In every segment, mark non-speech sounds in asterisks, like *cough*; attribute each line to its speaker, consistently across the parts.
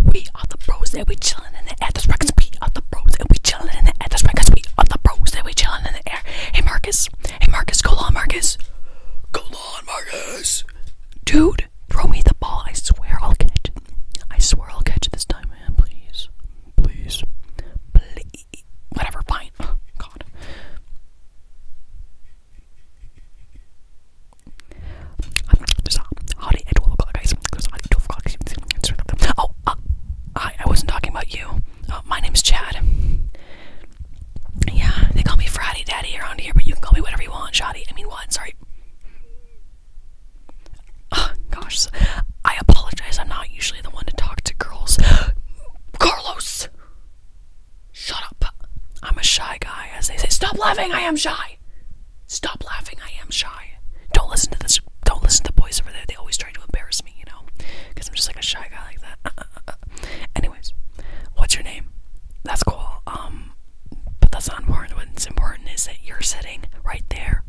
Speaker 1: We are the bros and we chillin' in the air. That's records. We are the bros and we chillin' in the air. That's records. We are the bros and we chillin' in the air. Hey Marcus. Hey Marcus. Go on Marcus. Go on Marcus. Dude, throw me the ball. I swear I'll catch it. I swear I'll catch it this time, man. Please. Please. Please. Whatever. Fine. Oh, God. There's I, wasn't talking about you. Uh, my name's Chad. Yeah, they call me Friday Daddy around here, but you can call me whatever you want, Shotty. I mean, what? Sorry. Uh, gosh, I apologize. I'm not usually the one to talk to girls. *gasps* Carlos! Shut up. I'm a shy guy, as they say. Stop laughing! I am shy! Stop laughing. I am shy. Don't listen to this. Don't listen to the boys over there. They always try to embarrass me, you know, because I'm just like a shy guy like that. *laughs* Anyways, what's your name? That's cool. Um, but that's not important. What's important is that you're sitting right there,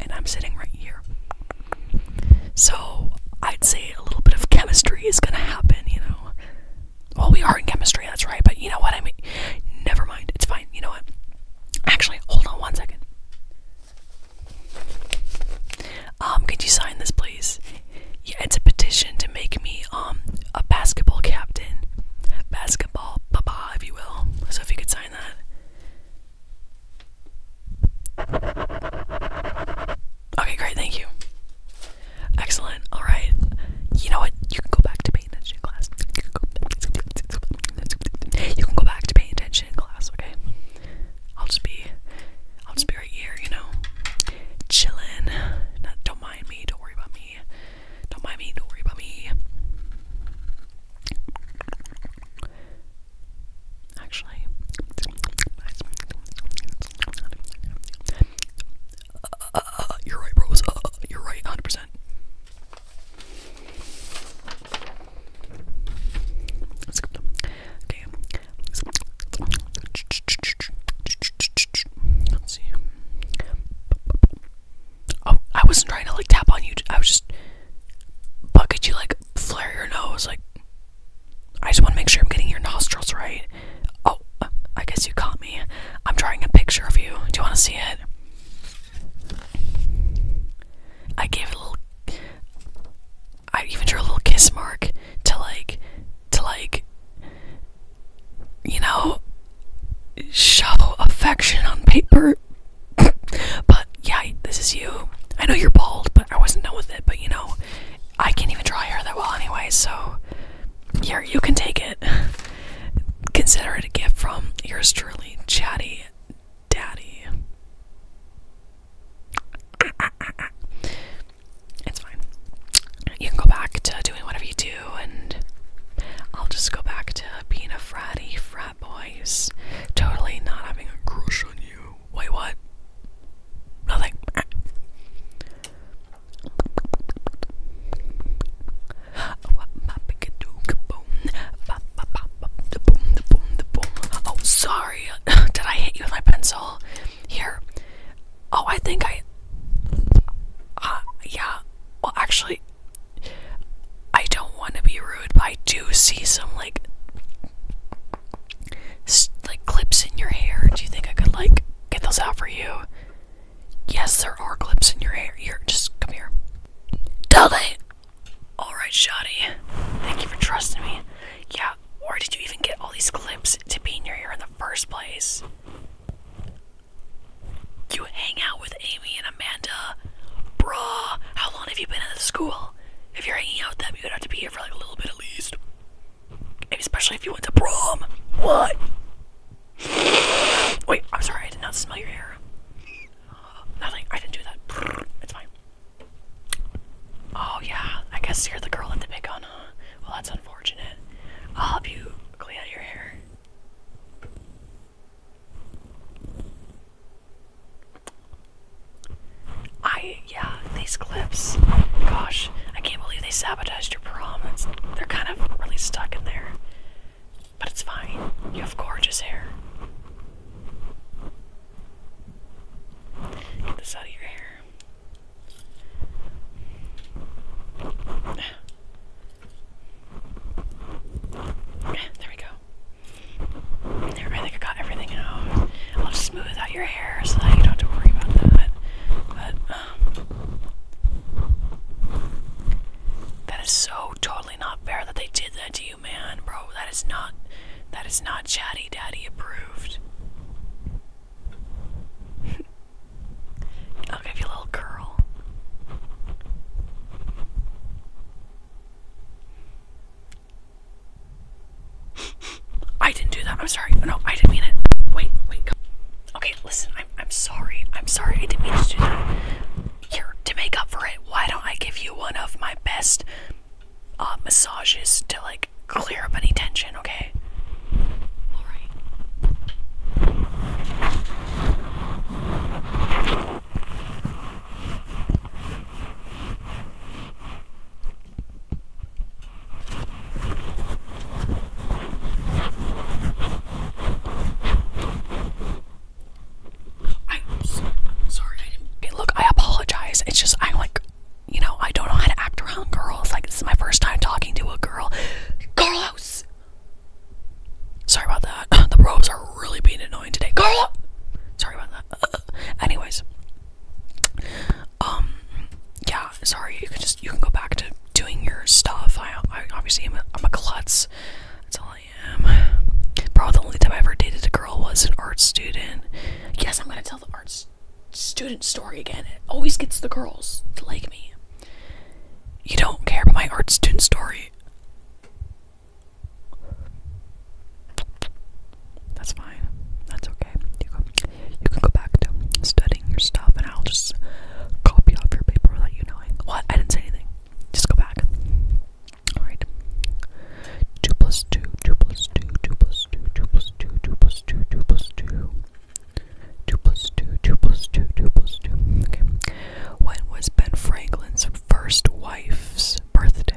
Speaker 1: and I'm sitting right here. So I'd say a little bit of chemistry is gonna happen, you know. Well, we are in chemistry, that's right, but you know what I mean? Never mind, it's fine. You know what? Actually, hold on one second. Um, could you sign this, please? Yeah, it's a petition to make me um a basketball captain, basketball papa, if you will. So if you could sign that. Okay, great, thank you. Excellent. All right. You know what? You can go back to paying attention in class. You can go back to paying attention class, okay? I'll just be, I'll just be right here, you know, chilling. don't mind me. Don't worry about me. Don't mind me. Don't worry about me. Actually, uh, you're right, bros. Uh, uh, you're right, 100%. Let's go. Okay. Let's see. Oh, I wasn't trying to like tap on you. I was just. But could you like flare your nose? Like, I just want to make sure I'm getting your nostrils right. Oh, I guess you caught me. I'm drawing a picture of you. Do you want to see it? I gave it a little. I even drew a little kiss mark to like, to like, you know, show affection on paper. *laughs* but yeah, this is you. I know you're bald, but I wasn't done with it. But you know, I can't even draw hair that well anyway, so here, you can take it. *laughs* Consider it a gift from yours truly, Chatty Daddy. *laughs* It's fine. You can go back to doing whatever you do, and I'll just go back to being a fratty frat boy totally not having a crush on you. Wait, what? Nothing. Oh, sorry. *laughs* Did I hit you with my pencil? Here. Oh, I think I. Uh, yeah. Well, actually, I don't want to be rude, but I do see some, like, like clips in your hair. Do you think I could like get those out for you? Yes, there are clips in your hair. Here, just come here. Dudley! Alright, Shotty. Thank you for trusting me. Yeah, where did you even get all these clips to be in your hair in the first place? You hang out with Amy and Amanda. Bruh, how long have you been at the school? If you're hanging out with them, you'd have to be here for like a little bit at least. Especially if you went to prom. What? *gasps* Wait, I'm sorry, I did not smell your hair. Uh, *gasps* I didn't do that. *sighs* It's fine. Oh, yeah, I guess you're the girl at the big on, huh? Well, that's unfortunate. I'll help you clean out your hair. I yeah, these clips. Gosh, I can't believe they sabotaged your prom. It's, they're kind of really stuck in there. But it's fine. You have gorgeous hair. Get this out of your hair. There we go. I think I got everything out. I'll just smooth out your um, that is so totally not fair that they did that to you, man, bro. That is not that is not chatty daddy approved. *laughs* I'll give you a little curl. *laughs* I didn't do that. I'm sorry. No, I didn't mean it. Wait, wait. Come. Okay, listen. I'm I'm sorry. I'm sorry. I didn't mean to do that. Here, to make up for it, why don't I give you one of my best uh, massages to like clear up any tension? Okay. All right. I'm sorry. look, I apologize. It's just I'm like, you know, I don't know how to act around girls. Like this is my first time talking to a girl. Carlos. Sorry about that. *clears throat* the probes are really being annoying today. Carlos. Sorry about that. *clears throat* anyways, um, yeah, sorry, you can just, you can go back to doing your stuff. I, I obviously am a, I'm a klutz. That's all I am. Probably the only time I ever dated a girl was an art student. Yes, I'm gonna tell the art student story again. It always gets the girls to like me. You don't care about my art student story. That's fine. That's okay. You can, you can go back to studying your stuff, and I'll just copy off your paper without you knowing. What? I didn't say anything. Just go back. Alright. 2 plus 2, 2 plus 2, 2 plus 2, 2 plus 2, 2 plus 2, 2 plus 2. 2 plus 2, 2 plus 2, 2 plus 2. Okay. When was Ben Franklin's first wife's birthday?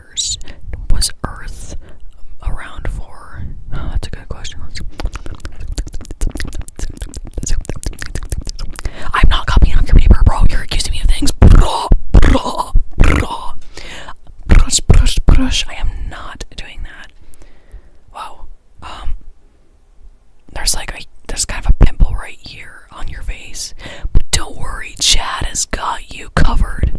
Speaker 1: was Earth around for? Oh, that's a good question. I'm not copying off your bro. You're accusing me of things. I am not doing that. Wow. Um. There's like a there's kind of a pimple right here on your face. But don't worry, Chad has got you covered.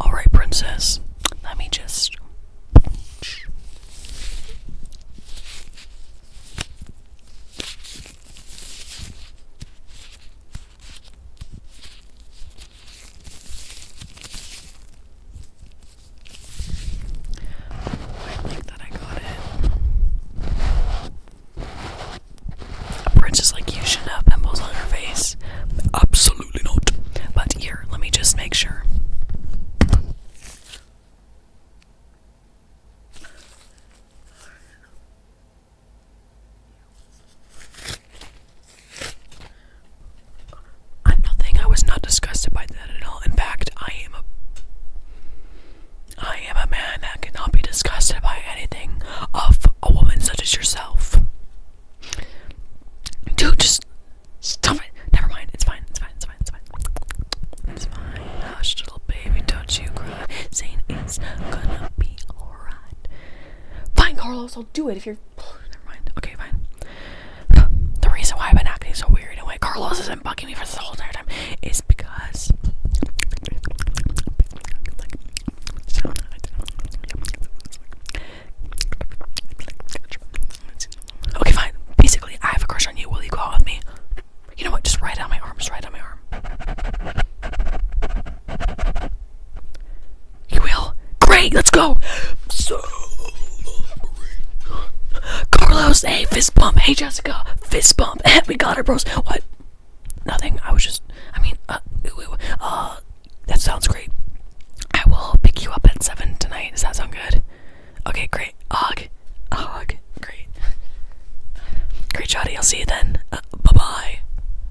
Speaker 1: All right, princess. Let me just I like that I got it. A princess like you should have pimples on her face. Absolutely not. But here, let me just make sure. I'm nothing. I was not disgusted by that at all. In fact, I am a I am a man that cannot be disgusted by anything of a woman such as yourself. Dude, just stop it. Never mind. It's fine. It's fine. It's fine. It's fine. It's fine. Hush, little baby. Don't you cry. Saying it's gonna be alright. Fine, Carlos. I'll do it if you're Never mind. Okay, fine. *laughs* The reason why I've been acting so weird and why Carlos isn't bugging me for this whole entire time is because. Okay, fine. Basically, I have a crush on you. Will you go out with me? You know what? Just write on my arm. Just write on my arm. You will? Great, let's go! So Carlos, hey, fist bump. Hey, Jessica, fist bump. *laughs* we got it, bros. What? Nothing. I was just, I mean, uh, uh, that sounds great. I will pick you up at 7 tonight. Does that sound good? Okay, great. Ugh. Ugh. Great. Great, Jody. I'll see you then. Uh, bye bye.